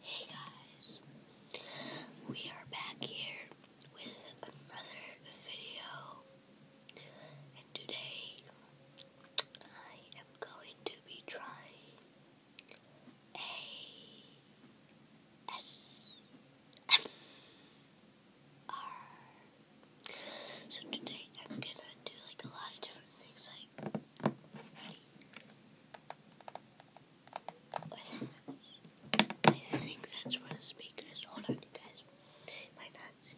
Hey guys, we are back here with another video, and today I am going to be trying a S S R. So today I'm gonna do like a lot of different things. Like I think that's where the speaker is. Hold on, guys. might not see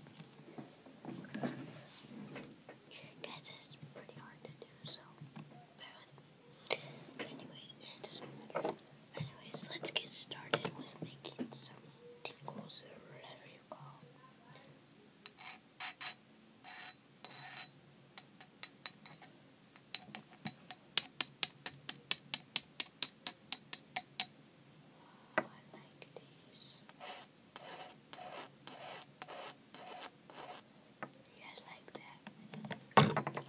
Guys, this pretty hard to do, so bear with me. Anyway, Anyways, let's get started with making some tinkles or whatever you call them. Wow, I like this. Yes, like that. Voices.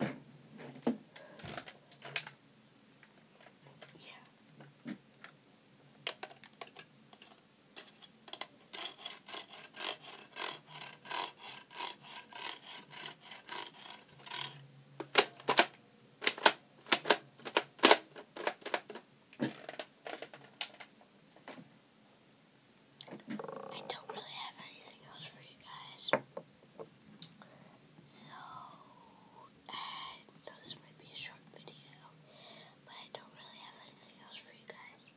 Yeah. I don't really have anything else for you guys. So, no, this might be a short video, but I don't really have anything else for you guys.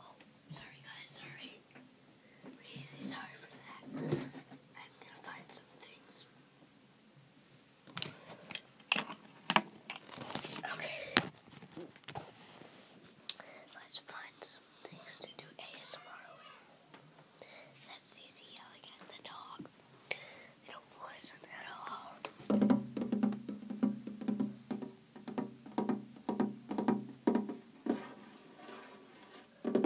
Oh, sorry guys, sorry. Really sorry for that. I'm gonna find some things. Okay. Let's find some things to do ASMR with. That's CC yelling at the dog. They don't listen at all. That's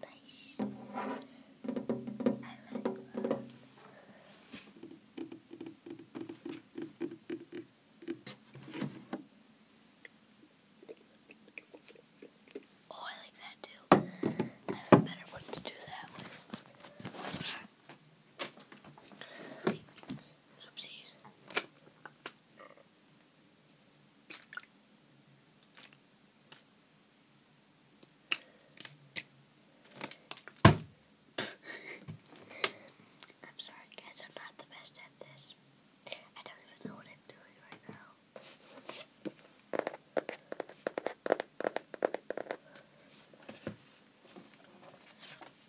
nice. I like that. Oh, I like that too. I have a better one to do that Oopsies. I'm sorry, guys, I'm not the best at this. I don't even know what I'm doing right now.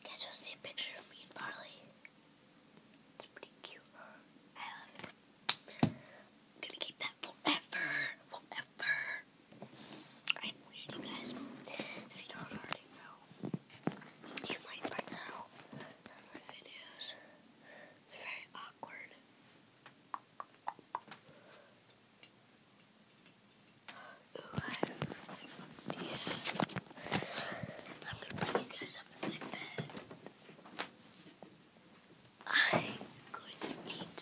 Guess you'll see a picture of me and Barley. It's pretty cute. I love it. am gonna keep that forever. Forever. I'm weird, you guys. If you don't already know, you might by now. my videos. They're very awkward. I'm, gonna bring you guys up in my bed. I'm going to eat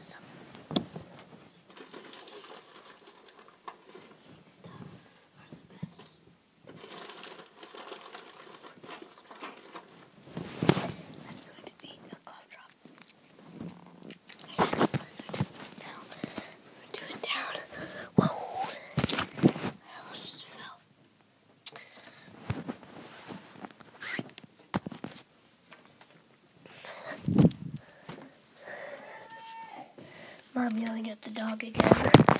some stuff are the best. That's going to be a cough drop. I am going to do it down. Whoa! I almost just fell. Mom yelling at the dog again. Ready?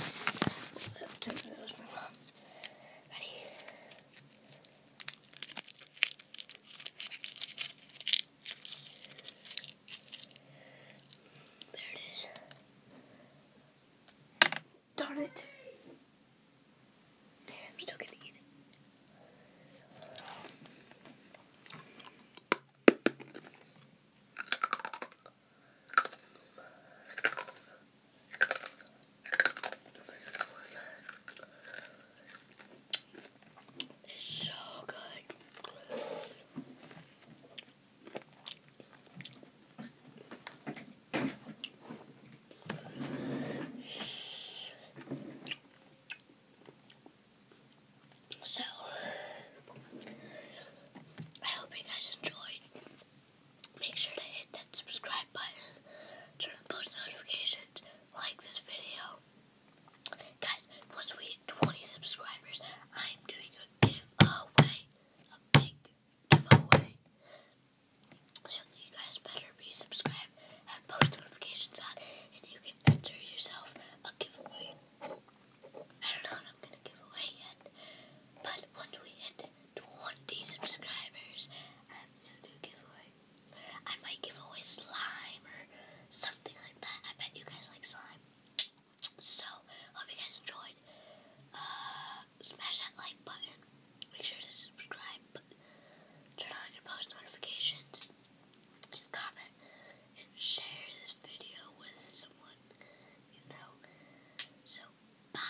There it is. Darn it. I'm still gonna eat it. It's so good. So, I hope you guys enjoyed. Make sure to hit that subscribe button, turn on post notifications like this video, guys, once we hit 20 subscribers, I'm doing a giveaway. A big giveaway. So you guys better be subscribed, have post notifications on, and you can enter yourself a giveaway. I don't know what I'm gonna give away yet, but once we hit 20 subscribers, I'm going a giveaway. I might give away slime or something like that. I bet you guys like slime. So, hope you guys enjoyed. Uh, smash that like button. Make sure to subscribe. turn on your post notifications. And comment. And share this video with someone you know. So, bye.